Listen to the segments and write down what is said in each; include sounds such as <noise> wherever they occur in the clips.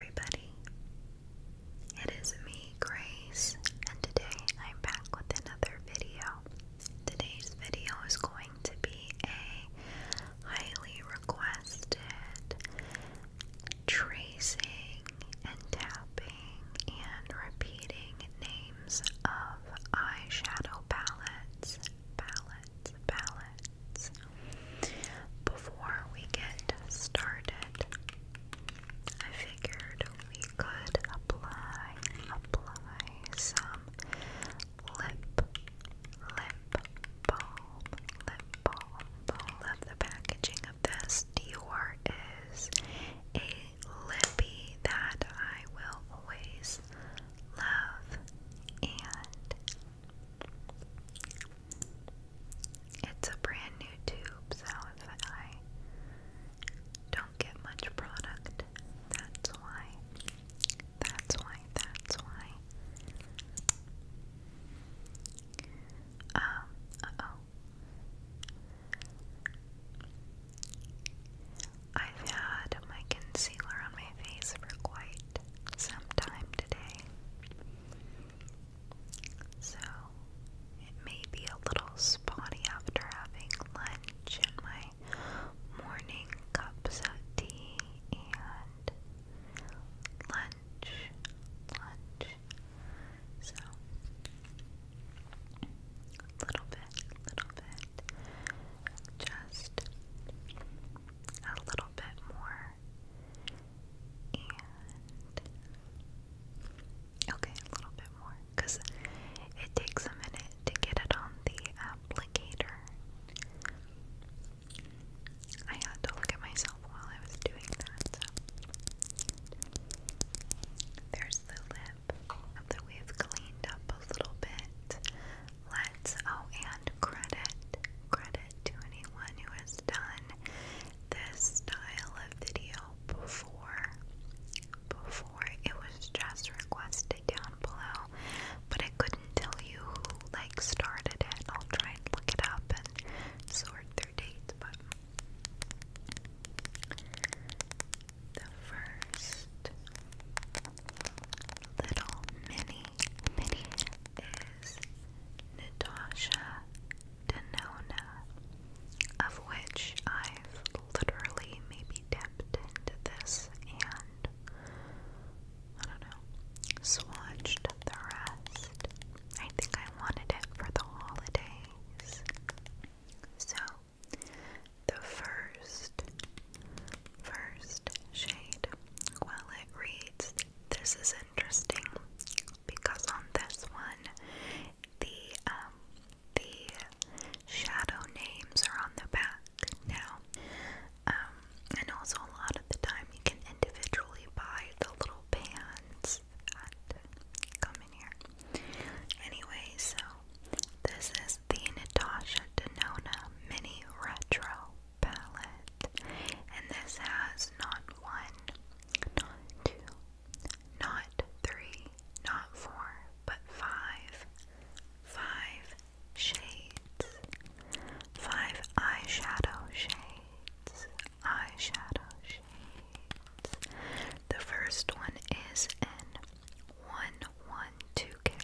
everybody. It is me, Grace, and today I'm back with another video. Today's video is going to be a highly requested tracing and tapping and repeating names of eyeshadow palettes, palettes, palettes. Before we get started, I figured we could apply apply some lip lip balm lip balm balm. Love the packaging of this. Dior is a lippy that I will always love and it's a brand new tube, so if I don't get much product, that's why. That's why, that's why. Um, uh oh. I've had my concealer on my face for quite some time today. So it may be a little spotty after having lunch and my morning cups of tea and lunch, lunch. So a little bit, little bit, just a little bit more and okay, a little bit more because it takes a minute to get it on the applicator. I had to look at myself while I was doing that. So. There's the lip that we've cleaned up a little bit. Let's oh, and credit, credit to anyone who has done this style of video before. Before it was just requested down below, but I couldn't tell you who like started it. I'll try and look it up and sort their dates, but the first little mini mini is Natasha Denona, of which I've literally maybe dipped into this and I don't know, swatched the rest. I think I wanted it for the holidays. So, the first, first shade, well, it reads this is interesting because on this one, the um, the shadow names are on the back now, um, and also a lot of the time you can individually buy the little bands come in here. Anyway, so this is the Natasha Denona Mini Retro palette, and this has not one, not two, not three, not four, but five, five shades, five eyeshadow shades, eyeshadow shades. The first one is in one one two K,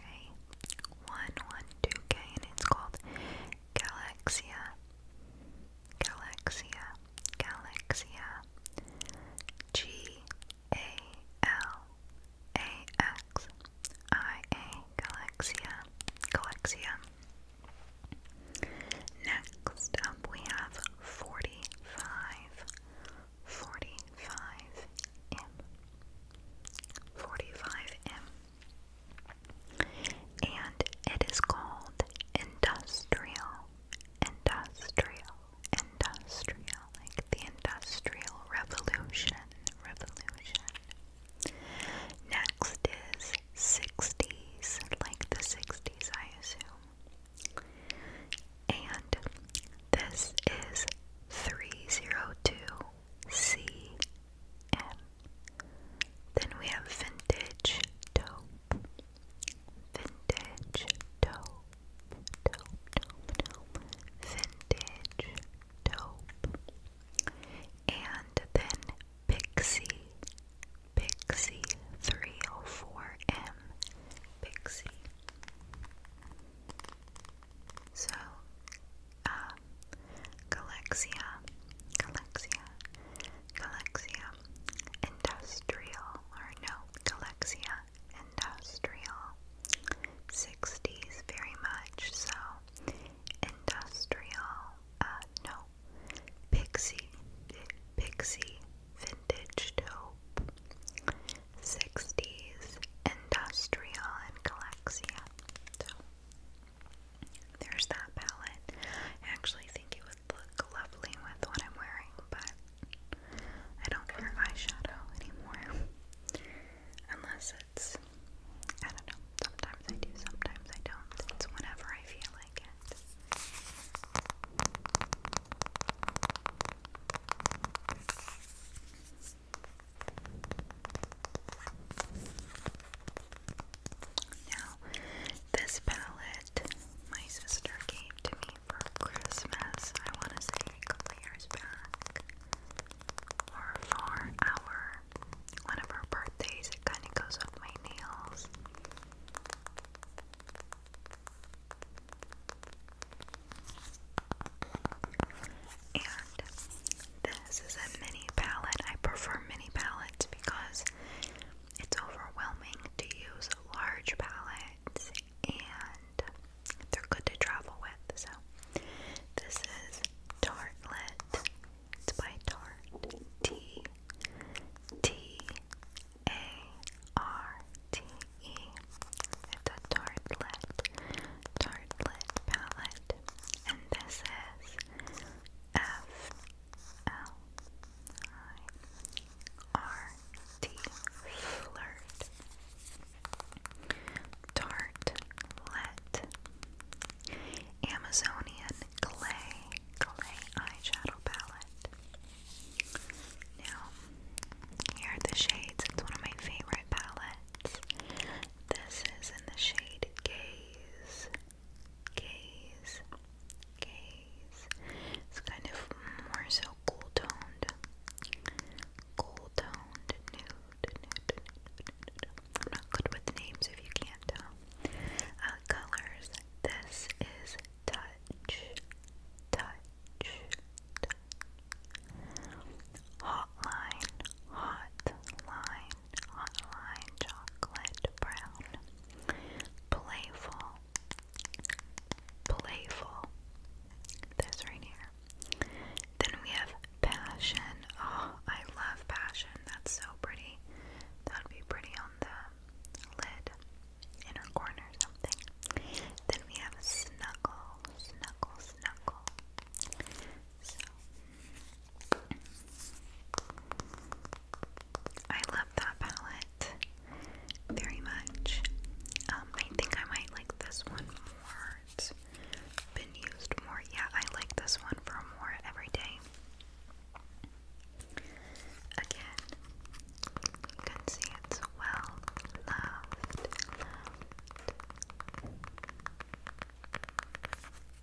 one one two K, and it's called Galaxia, Galaxia, Galaxia, G A L A X I A, Galaxia, Galaxia. Next we have 45, m 45M and it is called industrial, industrial, industrial, like the industrial revolution, revolution. Next is 60s, like the 60s, I assume. And this is 302 CM. Then we have vintage dope. Vintage dope. Dope, dope, dope. Vintage dope. And then Pixie. Pixie 304M. Pixie. So, uh, Galaxia, Galaxia, Galaxia Industrial, or no, Galaxia Industrial. 60s very much so. Industrial, uh, no. Pixie, Pixie Vintage Taupe. 60s Industrial and Galaxia. There's that palette. I actually think it would look lovely with what I'm wearing, but I don't wear eyeshadow anymore. <laughs> Unless it's, I don't know, sometimes I do, sometimes I don't. It's whenever I feel like it. Now, this palette my sister gave to me for Christmas. I want to say a couple years back, or for our one of her birthdays. It kind of goes with my nails. And this is a mini palette. I prefer mini palettes because it's overwhelming to use large palettes and they're good to travel with. So, this is Tartlet. It's by Tarte. T T A R T E. It's a Tartlet. Tartlet palette. And this is F L I R T flirt Tartlet Amazonian clay clay eyeshadow palette. Now here are the shades. It's one of my favorite palettes. This is in the shade Gaze gaze, gaze. It's kind of more so cool toned, cool toned nude, I'm not good with names if you can't tell. Uh, colors. This is touch, touch, touch. Hotline, hotline, hotline, chocolate brown playful, playful. This right here. Then we have passion. Oh, I love passion. That's so pretty. That would be pretty on the lid, inner corners, something. Then we have snuggle, snuggle, snuggle. So. I love that palette very much. Um, I think I might like this one more. been used more. Yeah, I like this one for more every day. Again, can see it's well loved.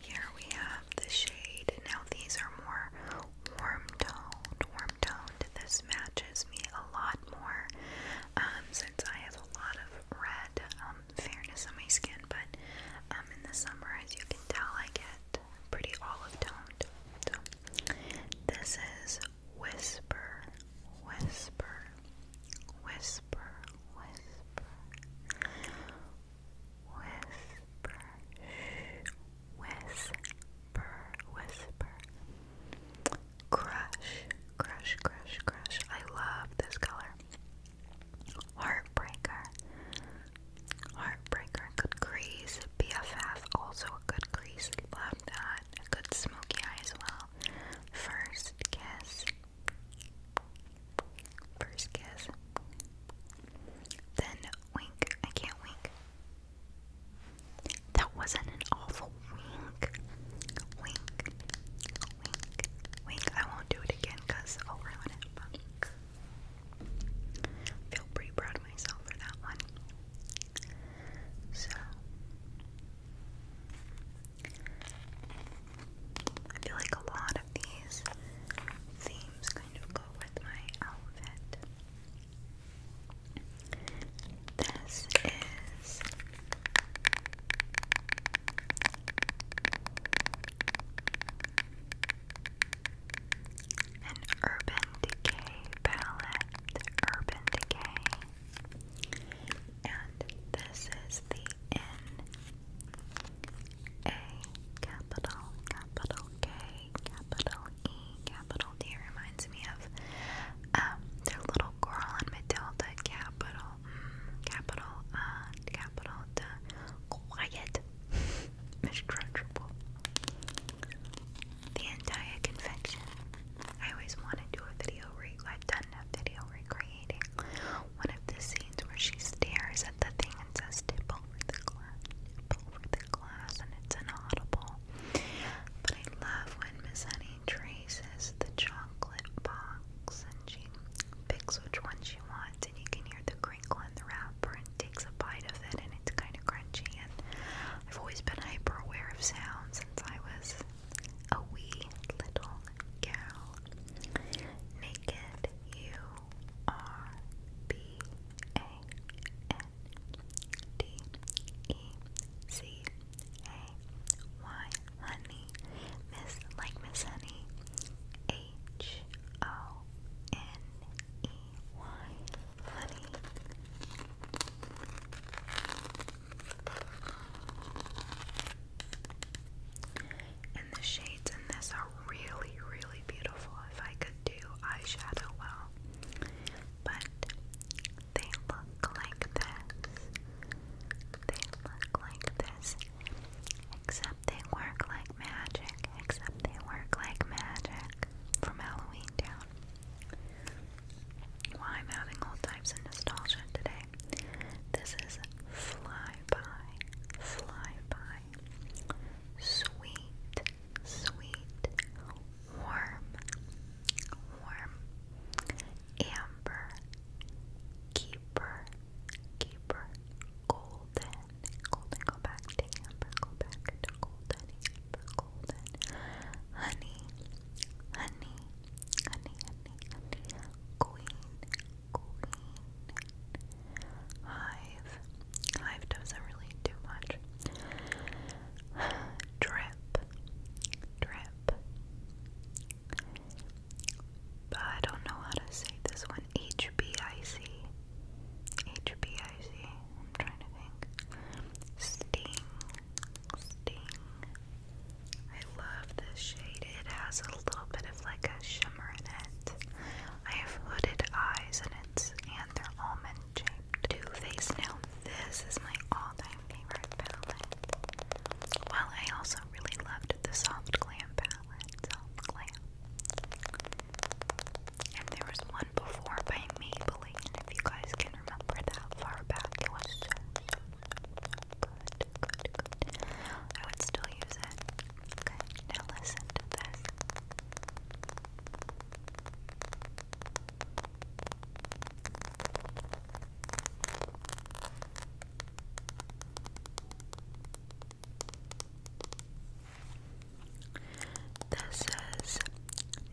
Here we have the shade. Now these are more warm toned. Warm toned. This matches me a lot more um, since I have a lot of red um, fairness on my skin. But um, in the summer, as you can tell, I get pretty olive toned. this is Whisper, Whisper, Whisper, Whisper whisper, whisper, whisper, crush, crush, crush, crush. I love this color. Heartbreaker, heartbreaker. Good crease. BFF also a good crease. Love that. good smoky eye as well. First kiss. First kiss. Then wink. I can't wink. That wasn't an awful wink. Wink. Wink. Wink. I won't do it again because I'll it. feel pretty proud of myself for that one. So I feel like a lot of these themes kind of go with my outfit. This is an Urban Decay palette, Urban Decay, and this is the In a capital, capital K, capital E, capital D reminds me of um, their little girl in Matilda, capital, mm, capital, uh, capital, D, quiet, <laughs> Miss Crunchable. The entire confection. I always want to do a video, re I've done a video recreation one of the scenes where she stares at the thing and says, tip over the glass, tip over the glass, and it's inaudible. But I love when Miss Honey traces the chocolate box and she picks which one she wants, and you can hear the crinkle in the wrapper and takes a bite of it, and it's kind of crunchy. And I've always been hyper aware of sounds since I was a wee little gal. Naked U R B A N D E C A Y Honey Miss like Miss Honey H O N E Y Honey and the shades in this are really, really beautiful. If I could do eyeshadow well, but they look like this. They look like this. Except they work like magic. Except they work like magic. From Halloween Town. Why well, I'm having all types of nostalgia today. This is Fly by, fly by. Sweet, sweet, warm, warm. Amber, keeper, keeper. Golden, golden. Go back to amber. Go back to golden. Amber, golden. honey, honey, honey, honey. Queen. Hive. Hive doesn't really do much. <sighs> Drip. Drip. I don't know how to say this one. HBIC. HBIC. I'm trying to think. Sting. Sting. I love this shade. It has a little bit of like a shimmer in it. I have hooded eyes and it's and they're almond shaped. Too Face Now this is my all-time favorite palette. Well, I also really loved the Soft Glam palette. And there was one before by Maybelline, and if you guys can remember that far back, it was so, so, good, good, good. I would still use it. Okay, now listen to this. This is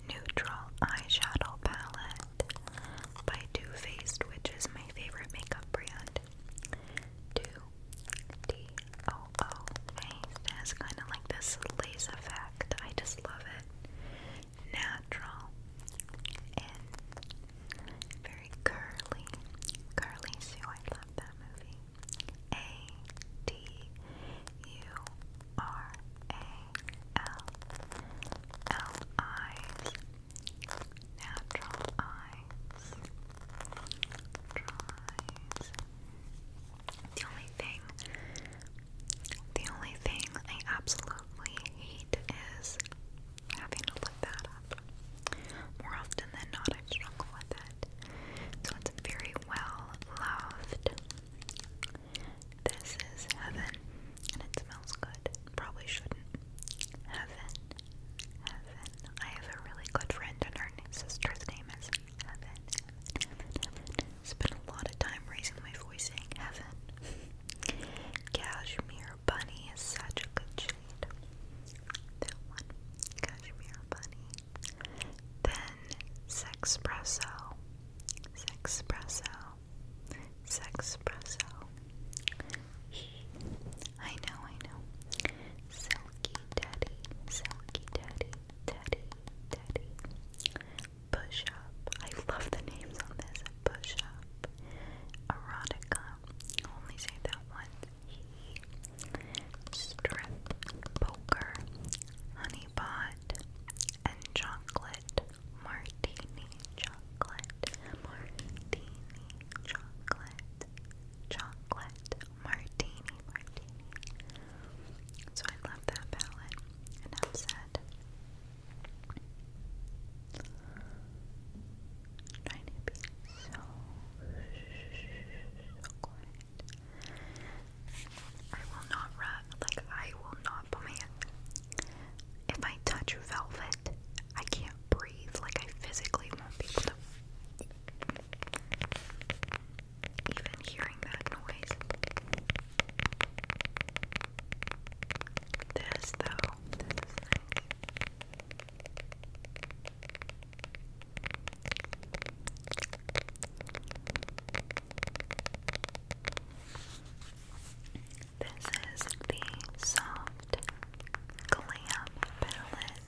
Neutral Eyeshadow Palette by Too Faced, which is my favorite makeup brand it to D-O-O face. It has kind of like this lace effect. I just love it. Natural and very curly. Curly Sue, oh, I love that movie. A-D-U-R-A-L-L eyes. Natural eyes. The only thing, the only thing I absolutely hate is having to look that up. More often than not, I struggle with it. So it's very well loved. This is heaven, and it smells good. Probably shouldn't. Heaven, heaven, I have a really good friend, and her sister's name is Heaven. Heaven, Heaven, Heaven. Spent a lot of time raising my voice saying Heaven. Cashmere Bunny is such a good shade. That one. Cashmere Bunny. Then Sexpresso. Sexpresso. Sexpresso. I know, I know. Silky Daddy, Silky Daddy, Daddy, Daddy. Push Up. I love the names on this. Push Up. Erotica. Only say that one. Strip. Poker. Honey Pot. And Chocolate. Martini Chocolate. Martini Chocolate chocolate martini martini. So I love that palette. Enough said. trying to be so, so quiet. I will not rub, like, I will not put If I touch velvet, I can't breathe. Like I physically won't be able to. Even hearing that noise. This though, this is the soft glam palette.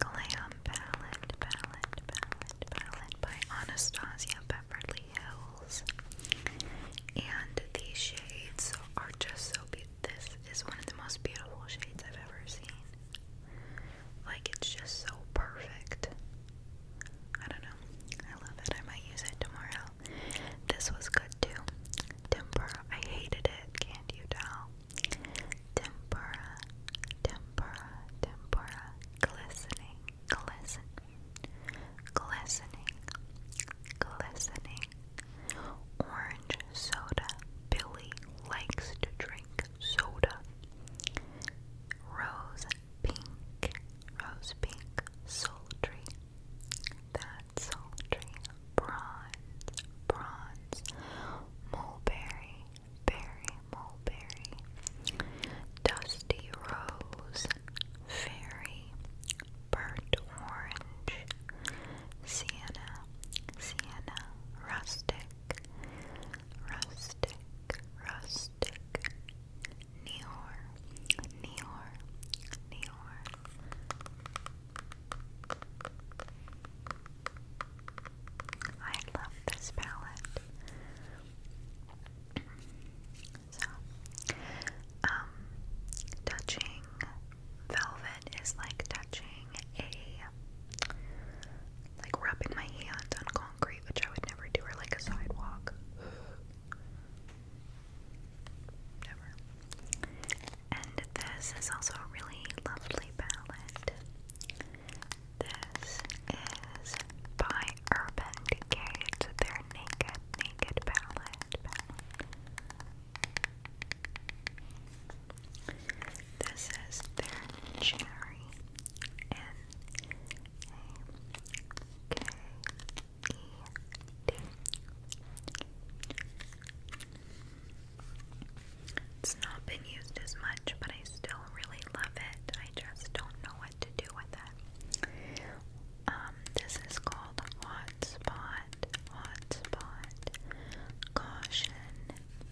Glam palette, palette, palette, palette by Anastasia Beverly Hills. And these shades are just so beautiful. This is one of the most beautiful shades I've ever seen. Like, it's just so perfect. I don't know. I love it. I might use it tomorrow. This was good too. Temper. I hated it. Can't you tell? Tempura, tempura, tempura, glistening, glisten, glistening, glistening. Orange soda. Billy likes to drink soda. Rose pink, rose pink, sultry. That's sultry bronze, bronze, mulberry, berry, mulberry, dusty rose, fairy, burnt orange, sienna, sienna, rustic, rustic, rustic, neor, neor, neor. I love this palette. So, um, touching velvet is like touching a, like rubbing my hand on concrete, which I would never do, or like a sidewalk. <sighs> Never. And this is also a really lovely palette. This is by Urban Decay. their Naked Naked palette. This is their Cherry N A K E D. It's not been used as much, but I still really love it. I just don't know what to do with it. Um, this is called Spot. Hotspot, Spot. Caution,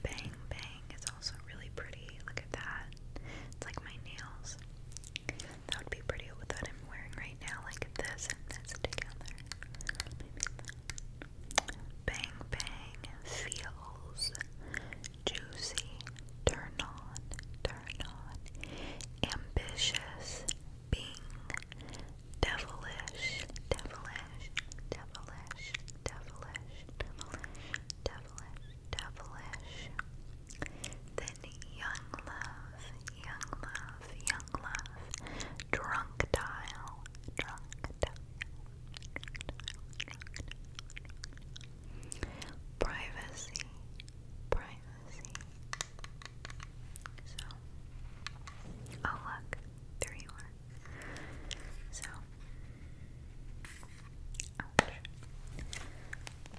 Bang Bang. It's also really pretty. Look at that. It's like my nails. That would be pretty with what I'm wearing right now, like this and this together. Bang Bang feels juicy, turn on, turn on, ambitious, being, devilish, devilish, devilish, devilish, devilish, devilish, devilish. Then young love, young love, young love, drunk dial, Privacy, privacy. So, oh look, there you So, ouch.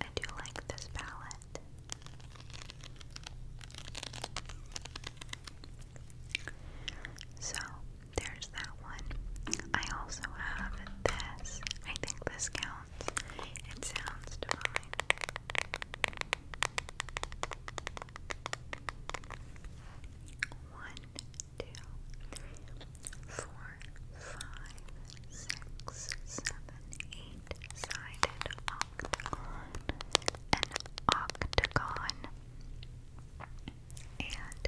I do like this palette. So, there's that one. I also have this. I think this counts. It sounds divine. One, two, three, four, five, six, seven, eight sided octagon. An octagon. And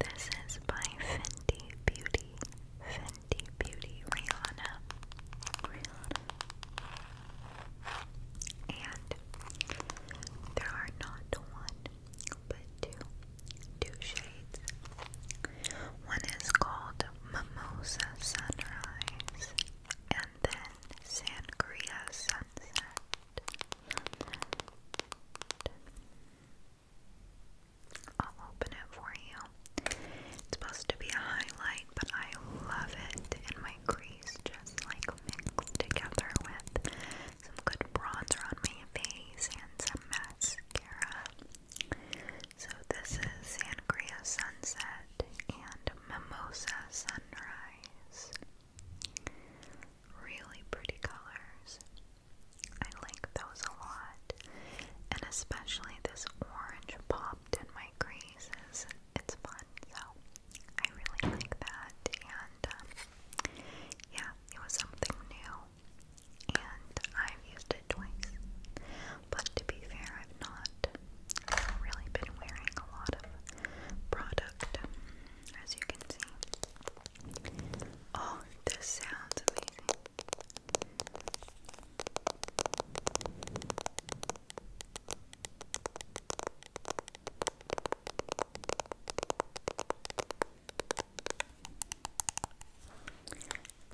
this is by Fenty Beauty. Fenty Beauty Rihanna. And there are not one, but two, two shades. One is called Mimosa Sunrise, and then Sandria Sunset. I'll open it for you. It's supposed to be a highlight, but I love it in my crease, just like mixed together with some good bronzer on my face and some mascara. So, this is Sangria Sunset and Mimosa Sunrise really pretty colors. I like those a lot, and especially this orange popped in my creases. It's fun, so I really like that. And um, yeah, it was something new, and I've used it twice. But to be fair, I've not really been wearing a lot of product as you can see. Oh, this sounds amazing.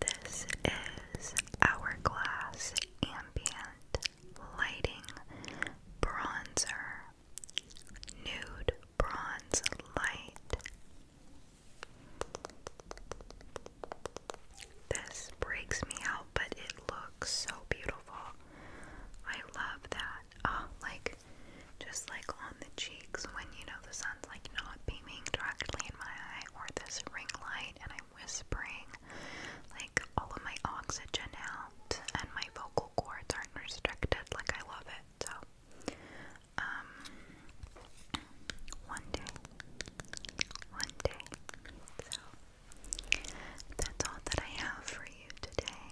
This is Hourglass Ambient Lighting Bronzer Nude Bronze Light. This breaks me out, but it looks so beautiful. I love that. Oh, like just like on the cheeks when you know the sun's like not beaming directly in my eye, or this ring light, and I'm whispering like all of my oxygen out and my vocal school aren't restricted. Like I love it. So, um, one day, one day. So that's all that I have for you today.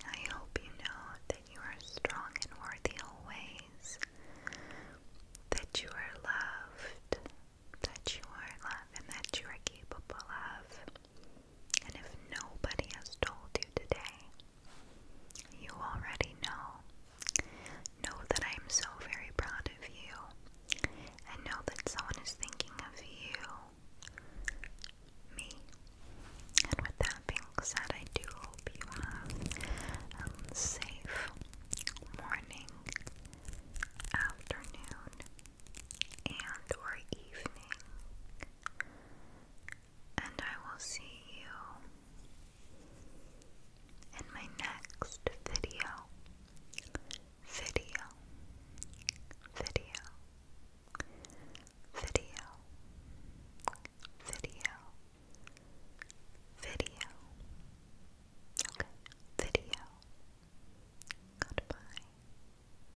I hope you know that you are strong and worthy always. That you are loved. That you are loved and that you are capable of. And if nobody has told you today, you already know. Know that I am so very proud of you. And know that someone is thinking of you. Me. And with that being said, I do hope you have a safe morning, afternoon, and or evening and I will see you in my next video. Video, video, video, video, video. Okay, video. Goodbye.